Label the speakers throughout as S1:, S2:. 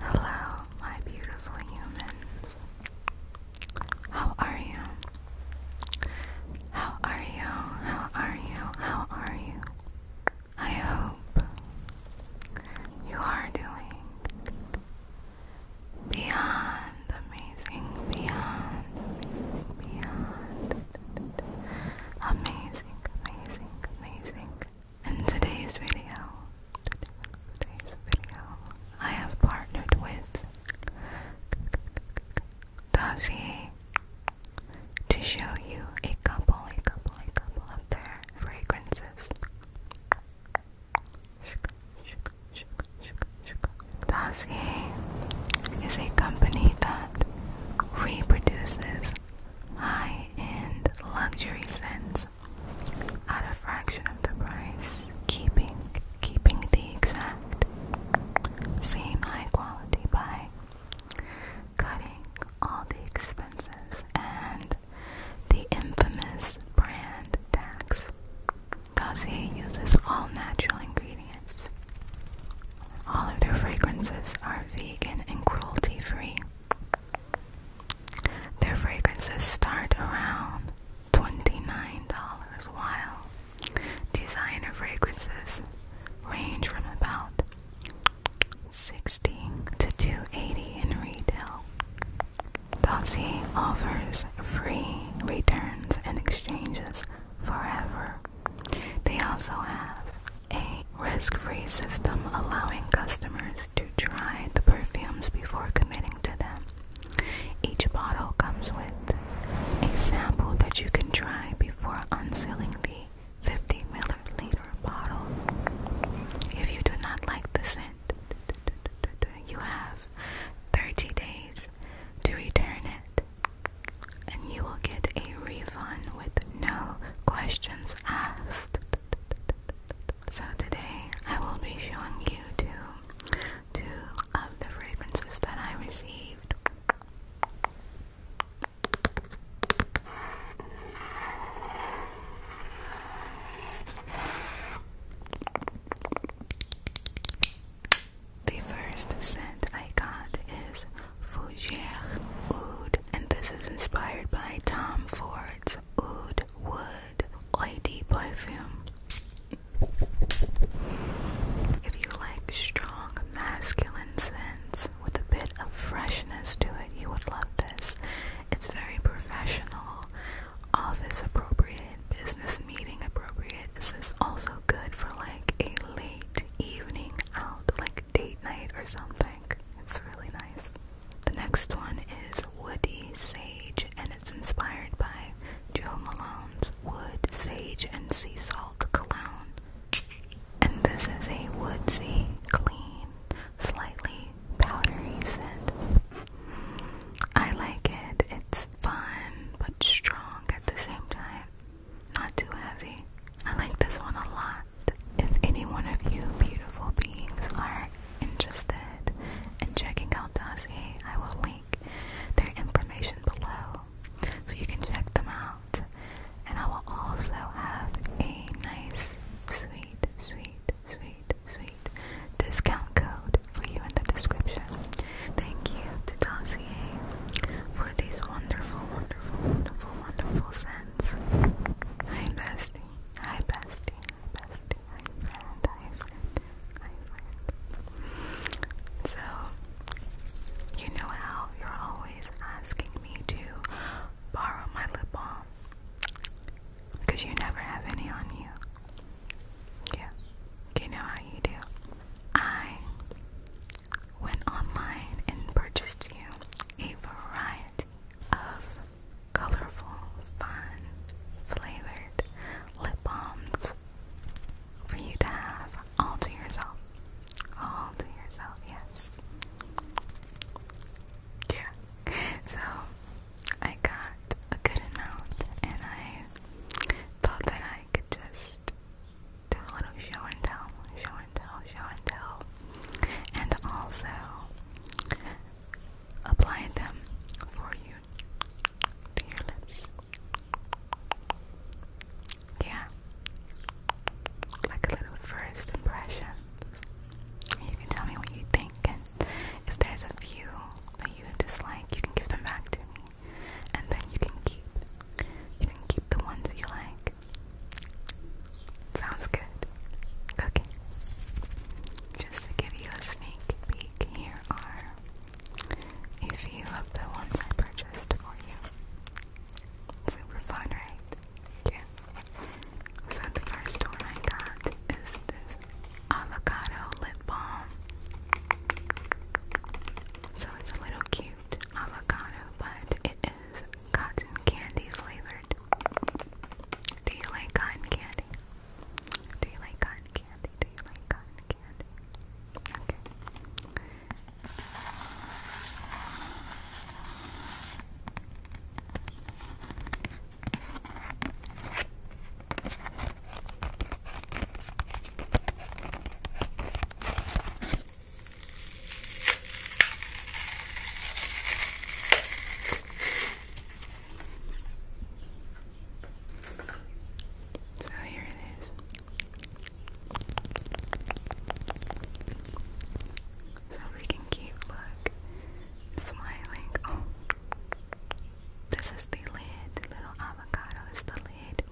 S1: Hello, my beautiful humans. How are you? How are you? How are you? How are you? I hope you are doing beyond amazing, beyond beyond amazing, amazing, amazing. In today's video, I have partnered with Dossier to show you a couple, a couple, a couple of their fragrances. Dossier is a company that reproduces high-end luxury scents at a fraction of the price, keeping keeping the exact same high quality by cutting all the expenses and the infamous brand tax. he uses all natural ingredients. All of their fragrances are vegan and cruelty free. Their fragrances start around $29, while designer fragrances range from about 60 to 280 in retail. Dossier offers free returns and exchanges forever. They also have a risk-free system allowing customers to try the perfumes before committing to them. Each bottle comes with a sample that you can try before unsealing the 50 milliliter bottle. If you do not like the scent, you have 30 days to return it, and you will get a refund with no questions asked. So today I will be showing you two, two of the fragrances that I received. The first scent I got is Fougere Oud, and this is inspired by Tom Ford words oud, wood, oily perfume. If you like strong masculine scents with a bit of freshness to it, you would love this. It's very professional, All this appropriate, business meeting appropriate. This is also good for like a late evening out, like date night or something. It's really nice. The next one is Woody Sage, and it's inspired by Joe Malone's Wood, Sage, and Sea Salt Cologne. And this is a woodsy, clean, slightly powdery scent. I like it. It's fun, but strong at the same time. Not too heavy. I like this one a lot if any one of you beautiful beings are interested in checking out Dossier, I will link their information below so you can check them out. And I will also have a nice, sweet, sweet, sweet, sweet discount code for you in the description. Thank you to Dossier for these wonderful, wonderful, wonderful, wonderful scents. I missed bestie. Hi bestie. bestie. Hi friend. Hi friend. Hi friend. So you know how you're always asking me to borrow my lip balm because you never have any on you. Yeah. You know how you do. I went online and purchased you a variety of colorful, fun, flavored lip balms for you to have all to yourself. All to yourself, yes. Yeah. So I got a good amount and I thought that I could just do a little show and tell, show and tell, show and tell. And also apply them for you to your lips. Yeah, like a little first impression. You can tell me what you think, and if there's a few that you dislike, you can give them back to me, and then you can keep you can keep the ones you like. Sounds good. Okay. Just to give you a sneak peek, here are a few of the ones I purchased for you. Super fun, right? Yeah. So the first one I got is this avocado lip balm. So it's a little cute avocado, but it is cotton candy flavor. Do you like cotton candy? Do you like cotton candy? Do you like cotton candy? So here it is. So we can look smiling. Oh. this is the lid. little avocado is the lid.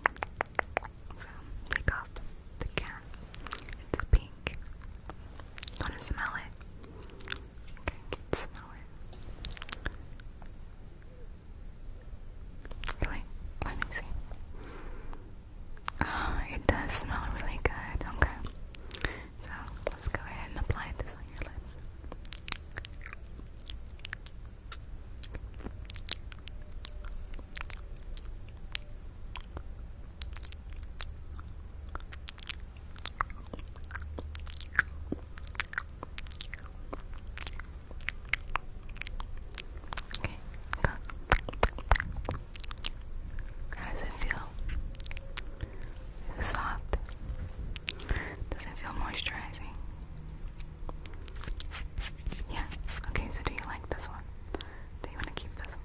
S1: So take off the can. It's pink. wanna smell it? Okay, smell it. Wait, let me see. Oh, it does smell really good. Okay. So let's go ahead and apply this on your lips. Okay. How does it feel? Is it soft? Does it feel moisturizing? Yeah. Okay, so do you like this one? Do you want to keep this?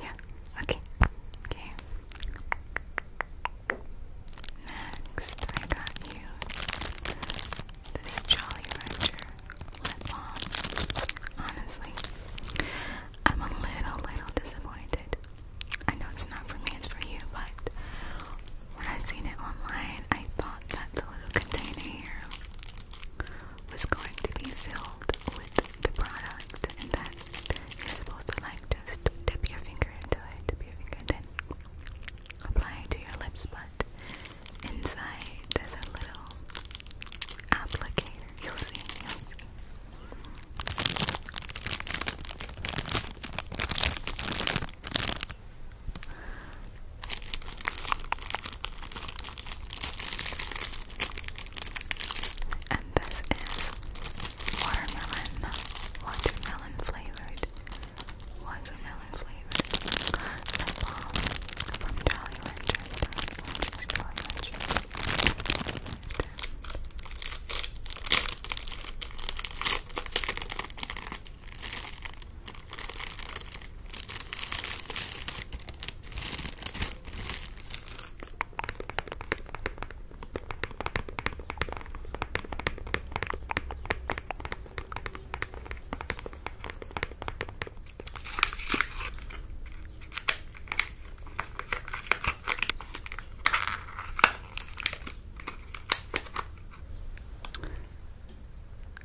S1: Yeah. Okay. Okay. Next, I got you this Jolly Rancher Honestly, I'm a little, little disappointed. I know it's not for me, it's for you, but when I seen it online, I thought that the little container here was going to be sealed with the product and then you're supposed to like just dip your finger into it, dip your finger and then apply it to your lips but inside there's a little applicator. you'll see. And this is watermelon, watermelon flavored, watermelon flavored lip balm from Jolly Rancher. Jolly Rancher. Jolly Rancher.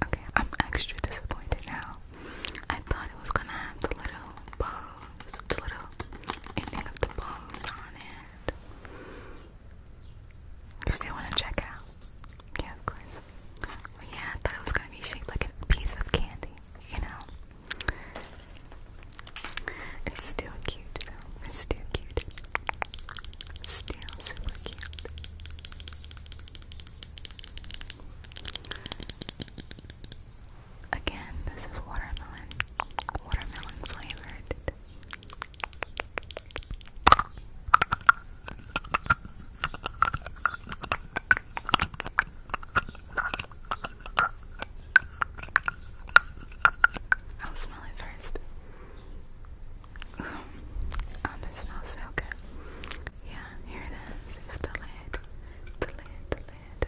S1: Okay, I'm extra disappointed now. I thought it was gonna have the little bug you still want to check out? Yeah, of course. yeah, I thought it was going to be shaped like a piece of candy, you know? It's still cute, though. It's still cute. Still super cute. Again, this is watermelon, watermelon flavored. I'll smell it first. Oh, this smells so good. Yeah, here it is. the lid. The lid, the lid it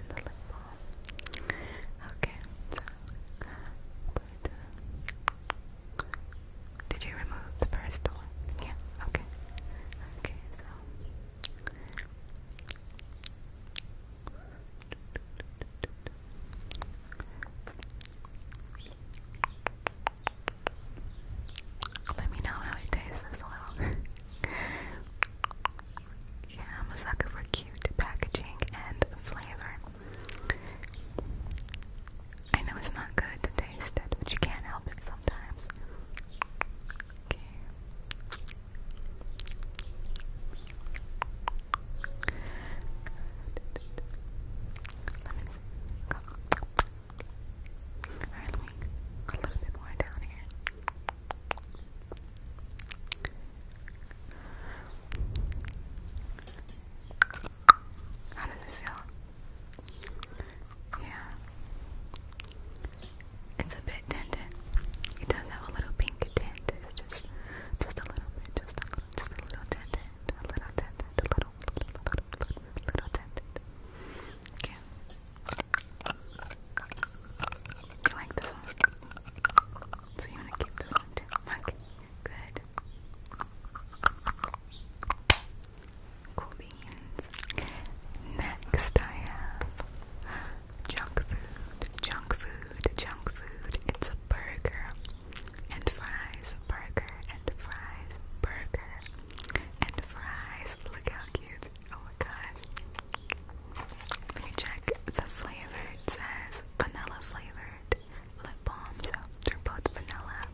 S1: Okay, so Did you remove the first one? Yeah, okay. Okay, so. Let me know how it tastes as well. Yeah, I'm a sucker for cute packaging and flavor. I know it's not good to taste it, but you can't help it sometimes. Okay. Let me a little bit more down here. How does it feel? Yeah. It's a bit tinted. It does have a little pink tint. just just a little bit, just a little just a little tinted. A little tinted. A little little little little, little tinted. Okay. You like this one? So you want to keep this one Okay, good. Cool beans. Next, I have junk food, junk food, junk food. It's a burger and fries, burger and fries, burger and fries. Look how cute. Oh my gosh. Let me check the flavor. It says vanilla flavored lip balm, so they're both vanilla.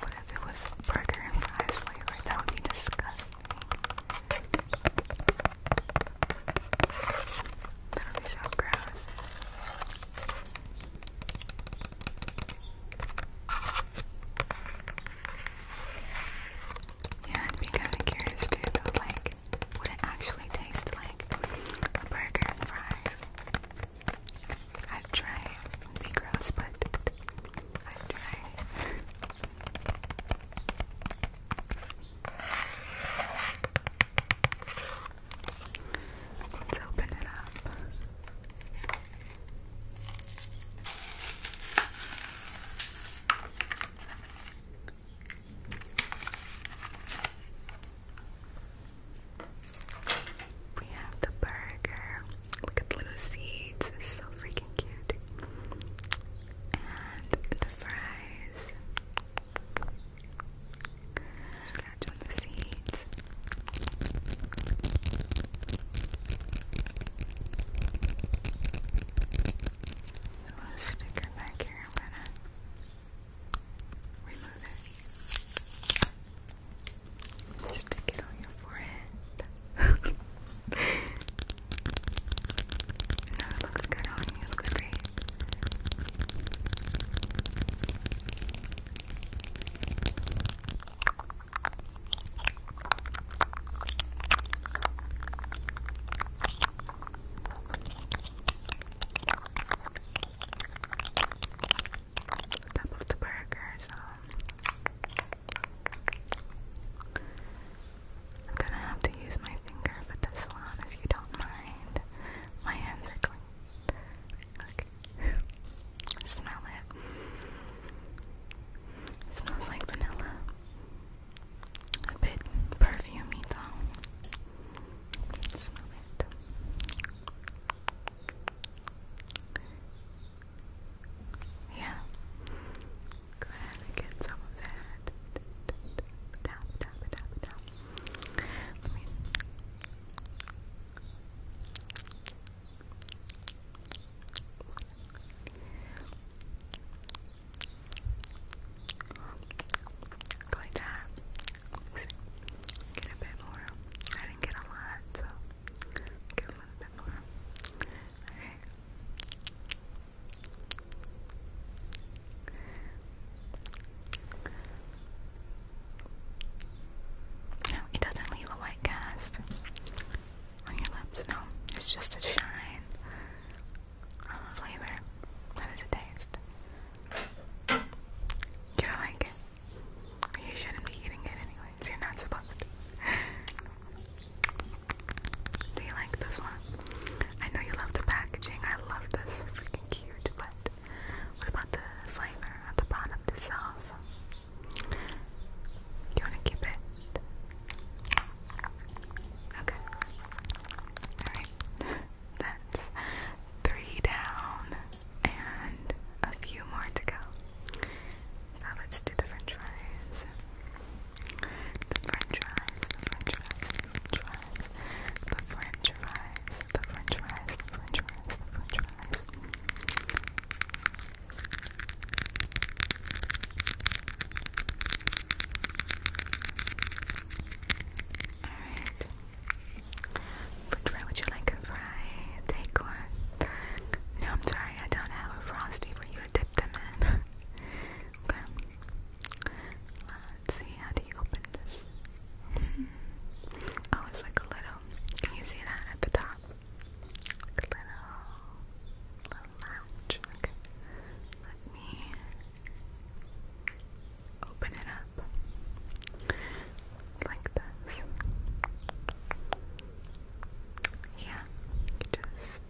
S1: what if it was burger and fries flavor? That would be disgusting. That would be so gross. Yeah, I'd be kind of curious to though, like, would it actually tastes like a burger and fries? I'd try be gross, but I'd try Let's open it up. We have the burger. Look at the little seeds. It's so freaking cute. And the fries. Scratch on the seeds. I'll stick her back here. I'm gonna remove it. Stick it on your forehead. no, it looks good on you. It looks great. Top of the burgers. Um, I'm gonna have to use my finger for this one if you don't mind. My hands are clean. Look. Smell it. it. Smells like vanilla. A bit perfumey though. Smell it. Yeah. Go ahead and get some of that. Tap, tap, tap, tap. Let me. Go like that. Get a bit more. I didn't get a lot, so give a bit more. Alright. No, it doesn't leave a white cast on your lips. No, it's just a shine flavor. That is a taste. You don't like it? You shouldn't be eating it anyways. You're not supposed to. Do you like this one? I know you love the packaging. I love this. Freaking cute. But what about the flavor at the bottom? This salsa. You want to keep it? Okay. Alright. That's three down and a few more to go. So let's do the french fries. french fries, french fries, french fries, the french fries, the french fries, french fries, french fries. Alright. Which would you like a fry? Take one. No, I'm sorry, I don't have a frosty for you to dip them in. Let's see, how do you open this? Mm -hmm. like a little. Can you see that at the top? little, little lounge. Okay, me open it up like this. Yeah, just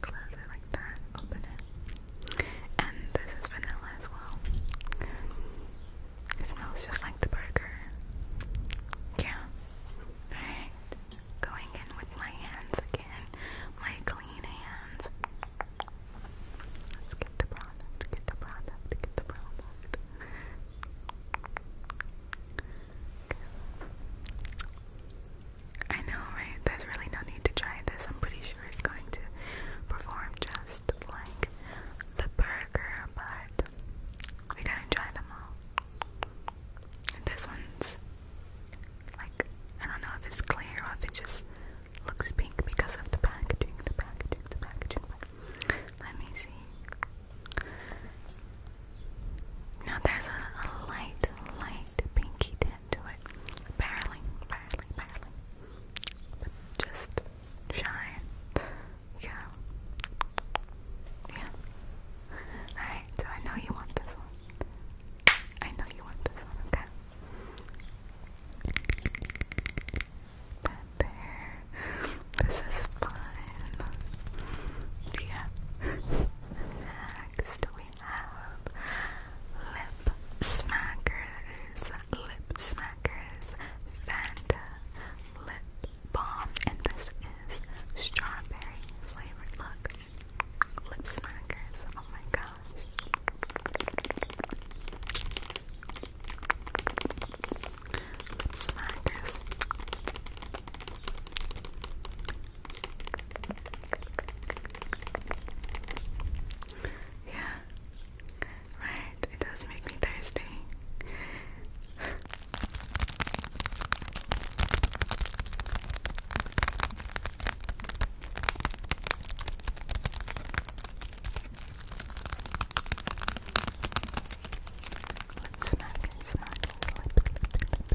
S1: close it like that, open it. And this is vanilla as well. It smells just like the burger. Yeah. Alright. Going in with my hands again. My clean hands. Let's get the product, get the product, get the product. I know, right? There's really no need to try this. I'm pretty sure it's going to perform just like the burger, but we gotta try them all. This one's like I don't know if it's clear or if it just looks pink because of the packaging, the packaging, the packaging. let me see. Now there's a, light, light pinky tint to it. Barely, barely, barely. just shine. Yeah. Yeah. Alright, so I know you want this one. I know you want this one, okay? there. This is fun. Yeah. Next, we have Lip Smackers. Lip Smackers. Santa Lip Bomb, and this is strawberry flavored. Look, lip smackers. Oh my gosh. Lip smackers. Yeah, Right, it does make me thirsty. Lip smack, smack, lip, lip,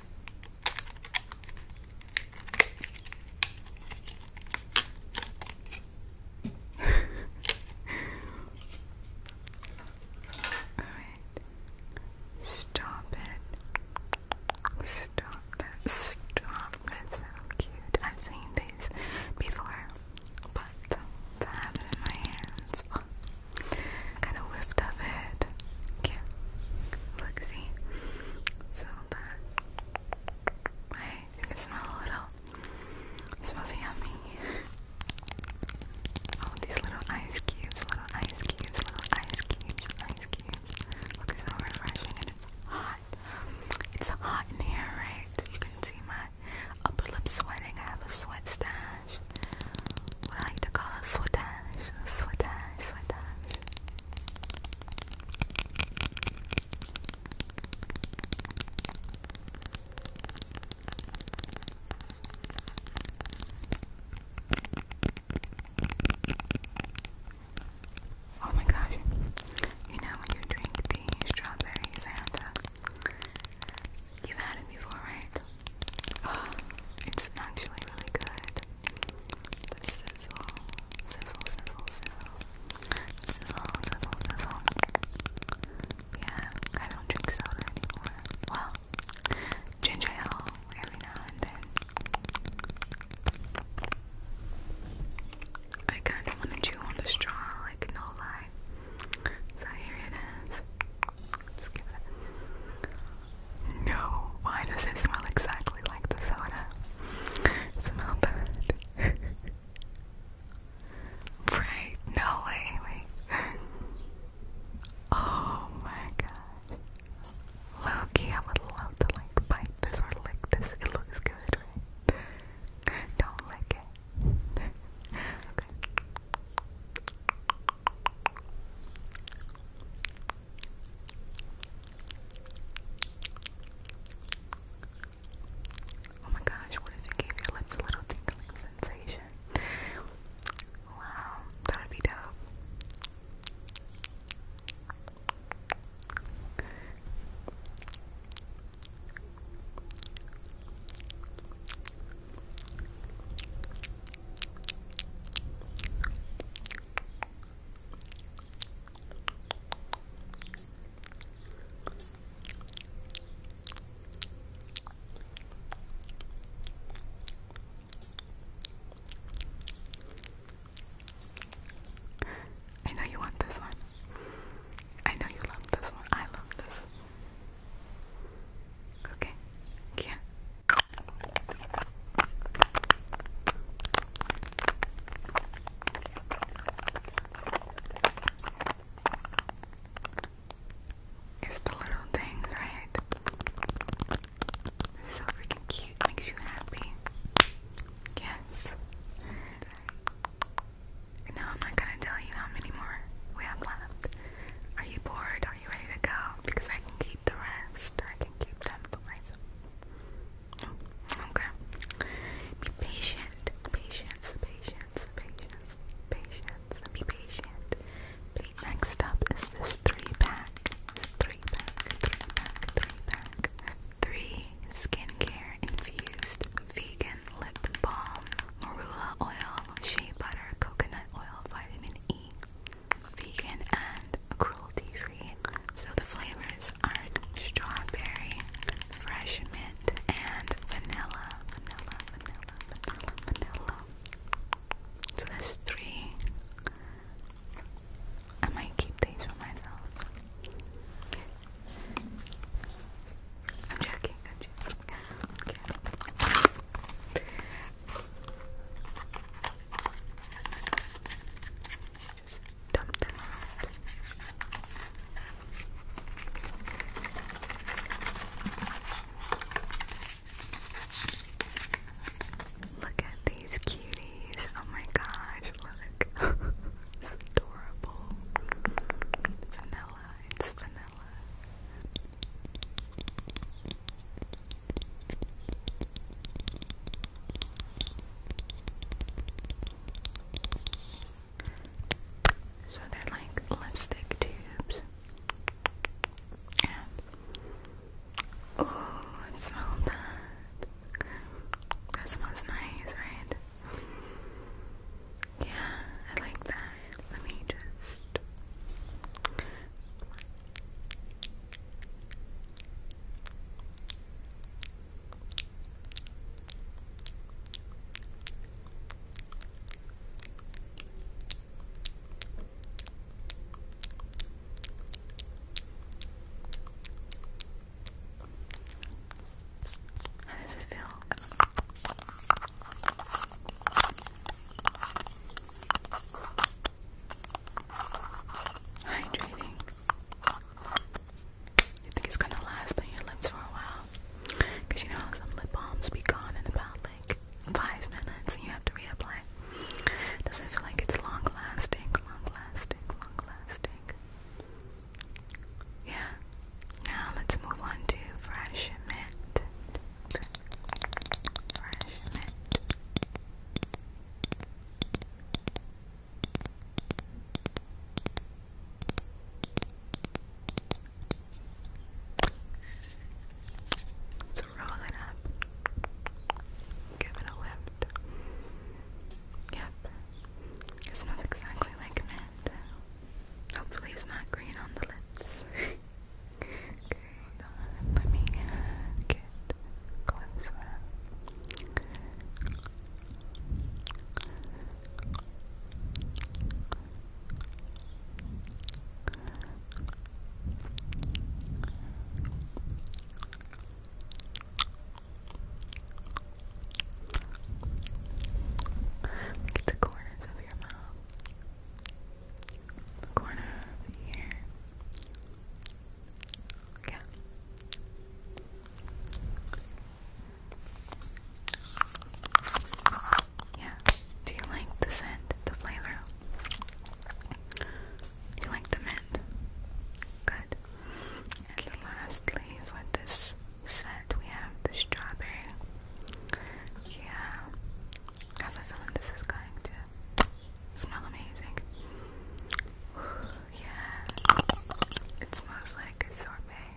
S1: All right. Stop it. Stop that. Stop. It's so cute. I've seen these before, but to have it in my hands kind of whiffed of it. Yeah, look, see, so that I can smell a little. smells yummy. Oh, these little ice cubes, little ice cubes, little ice cubes, ice cubes. Look, it's so refreshing and it's hot. It's hot in here, right? You can see my upper lip sweating. I have a sweat stand. What I like to call it Swadesh, Swadesh, Swadesh. Oh my gosh, you know when you drink the strawberry Santa? You've had it before, right? it's actually really good. The sizzle, sizzle, sizzle, sizzle, sizzle, sizzle, sizzle. Yeah, I don't drink soda anymore. Well, ginger ale every now and then. I kind of want to on the straw, like no lie. So here it is. No, why does it smell exactly like the soda? Smell that. right? No way, wait. Oh my god. Loki, I would love to like bite this or lick this. It looks good, Don't lick it. okay. Oh my gosh, what if it gave your lips a little tingling sensation? Wow, that would be dope. I know you want this one. I know you love this one. I love this. Okay. Yeah. It's the little things, right? so freaking cute, makes you happy. Yes. No, I'm not gonna tell you how many more we have left. Are you bored? Are you ready to go? Because I can keep the rest. I can keep them to myself. Okay. Be patient. Patience. Patience. Patience. Patience. Be patient. Next up is this three pack. Three pack. Three pack. Three pack. Three skincare infused vegan lip balms, marula oil, shea butter, coconut oil, vitamin E vegan and cruelty free. So the flavors are strawberry, fresh mint, and vanilla. Vanilla, vanilla, vanilla, vanilla. So there's three. I might keep these for myself. I'm joking, I'm joking. Okay. Look at these cuties. Oh my gosh, look. it's adorable. Vanilla, it's vanilla. So they're like lipstick tubes. oh, it smells That smells nice, right? Yeah, I like that. Let me just how does it feel? Hydrating. You think it's gonna last on your lips for a while? you know how some lip balms be gone in about like five minutes and you have to reapply. Does it feel like it's long lasting, long lasting, long lasting? Yeah. Now let's move on to fresh mint fresh mint. roll it up, give it a lift. Yep, it smells exactly like mint. Hopefully, it's not green on the lips. Okay, let me get closer. Get the corners of your mouth the corner of the ear. Yeah. Yeah. Do you like the scent, the flavor? you like the mint? Good. And lastly, for this set, we have the strawberry. Yeah. How's it feeling? This is going to smell amazing. Yeah, it smells like sorbet.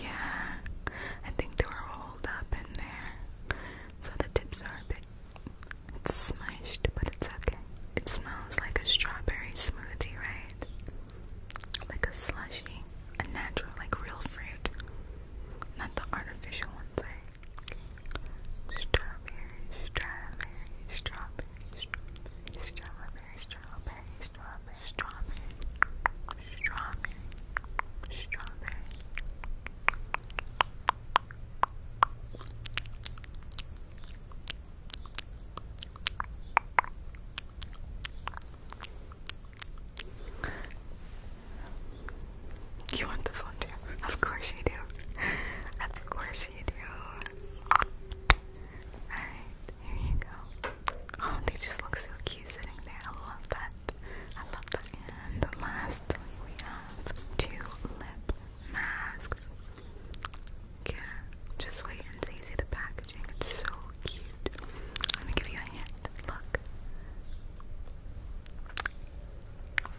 S1: Yeah, I think they were rolled up in there, so the tips are a bit smushed, but it's okay. It smells like a strawberry smoothie, right? like a slushy, a natural, like real fruit, not the artificial ones. Right? Strawberry, strawberry, strawberry, strawberry, strawberry, strawberry, strawberry, strawberry, strawberry, you want this one too? Of course you do. Of course you do. Alright, here you go. Oh, they just look so cute sitting there. I love that. I love that. And lastly, we have two lip masks. Yeah, just wait and see, see the packaging. It's so cute. Let me give you a hint. Look.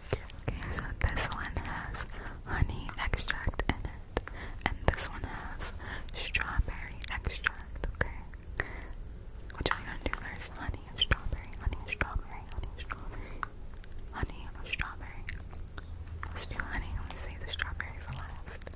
S1: Okay, so this one has honey extract in it, and this one has strawberry extract. Okay, which I'm gonna do first: honey and strawberry, honey and strawberry, honey and strawberry, honey and strawberry. Let's do honey. Let me save the strawberry for last.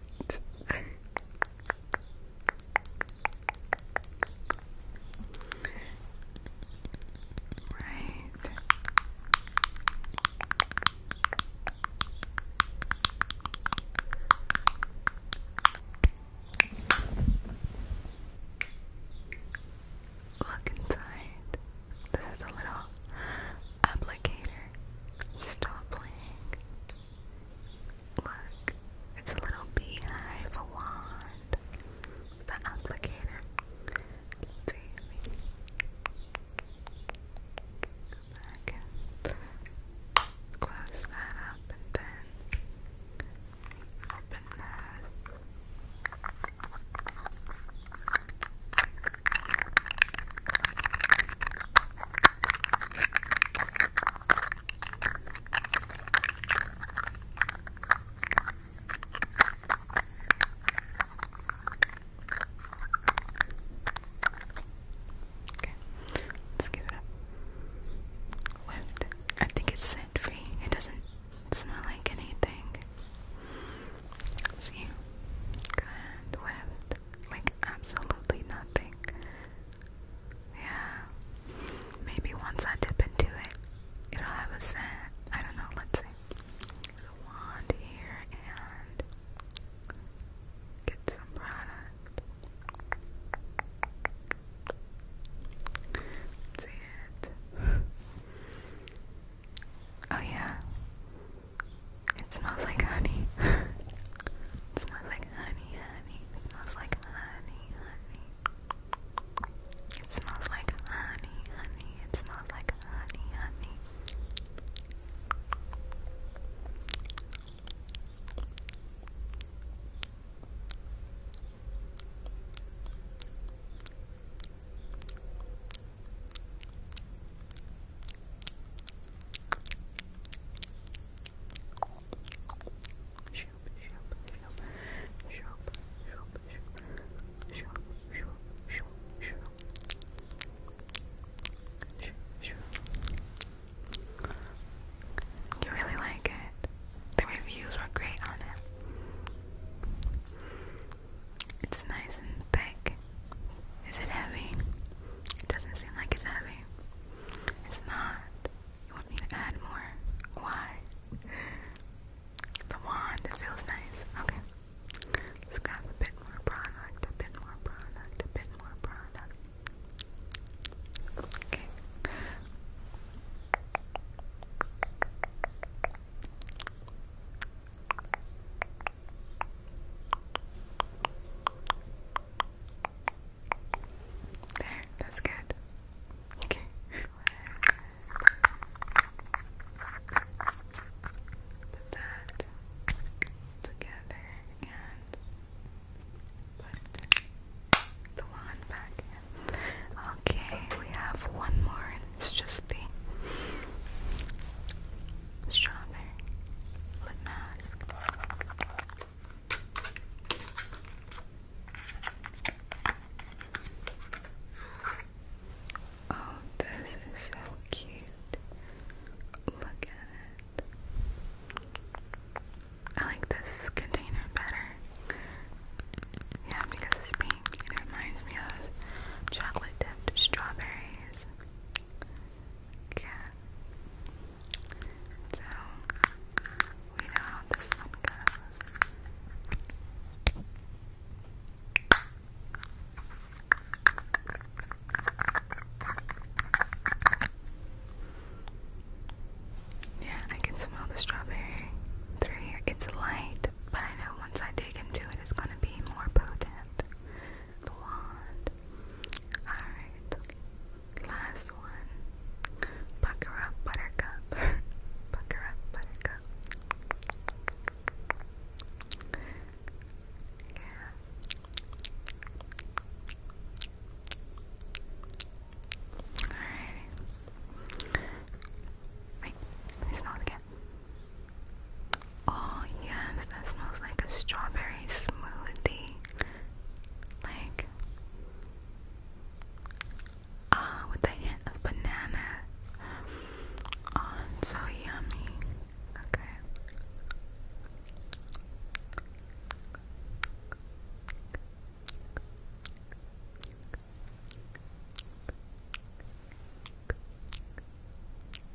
S1: what? right. Look inside. This is a little applicator Stop playing. Look, it's a little beehive wand. The applicator. Baby. Go back close that up and then open that. Okay, let's give it a whiff. I think it's scent free. It doesn't smell like anything. Let's see, good whiff. Like, absolutely nothing. Yeah. Maybe once I dip into it, it'll have a scent. I don't know, let's see. There's a wand here and get some product. Let's see it. Oh, yeah. It smells like honey. smells like honey, honey. smells like honey, honey. It smells like honey, honey. It smells like honey, honey. You really like it. The reviews were great on it. It's nice and thick is it heavy? It doesn't seem like it's heavy. It's not. You want me to add more? Why? The wand, feels nice. Okay. Let's grab a bit more product, a bit more product, a bit more product. Okay. There, that's good. Okay. Put that together put the wand back Okay, we have one more, it's just the strawberry lip mask. Oh, this is so cute. Look at it. I like this container better. Yeah, because it's pink. It reminds me of chocolate dipped strawberries. Okay. So we know how this one goes. Yeah, I can smell the strawberry through here. It's light, but I know once I dig into it, it's going to be more potent the wand. Alright, last one. Pucker up, buttercup. Pucker up, buttercup. Yeah. Alrighty. Wait, smell again. Oh, yes, that smells like a strawberry smoothie. Like, ah, uh, with a hint of banana. Oh, it's so yummy. Okay. Okay.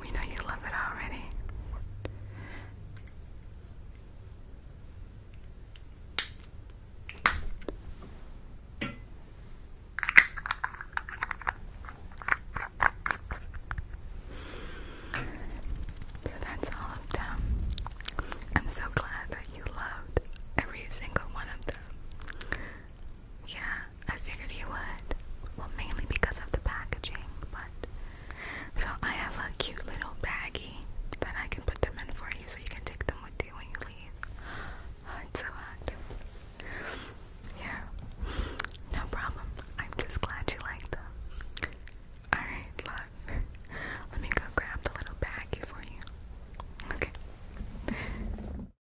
S1: We know you love it already. So that's all of them. I'm so glad that you loved every single one of them. Yeah, I figured you would. Well, mainly because of the packaging, but. So I have a cute little baggie that I can put them in for you so you can take them with you when you leave. Oh, it's so hot. Yeah, no problem. I'm just glad you like them. Alright, love. Let me go grab the little baggie for you. Okay.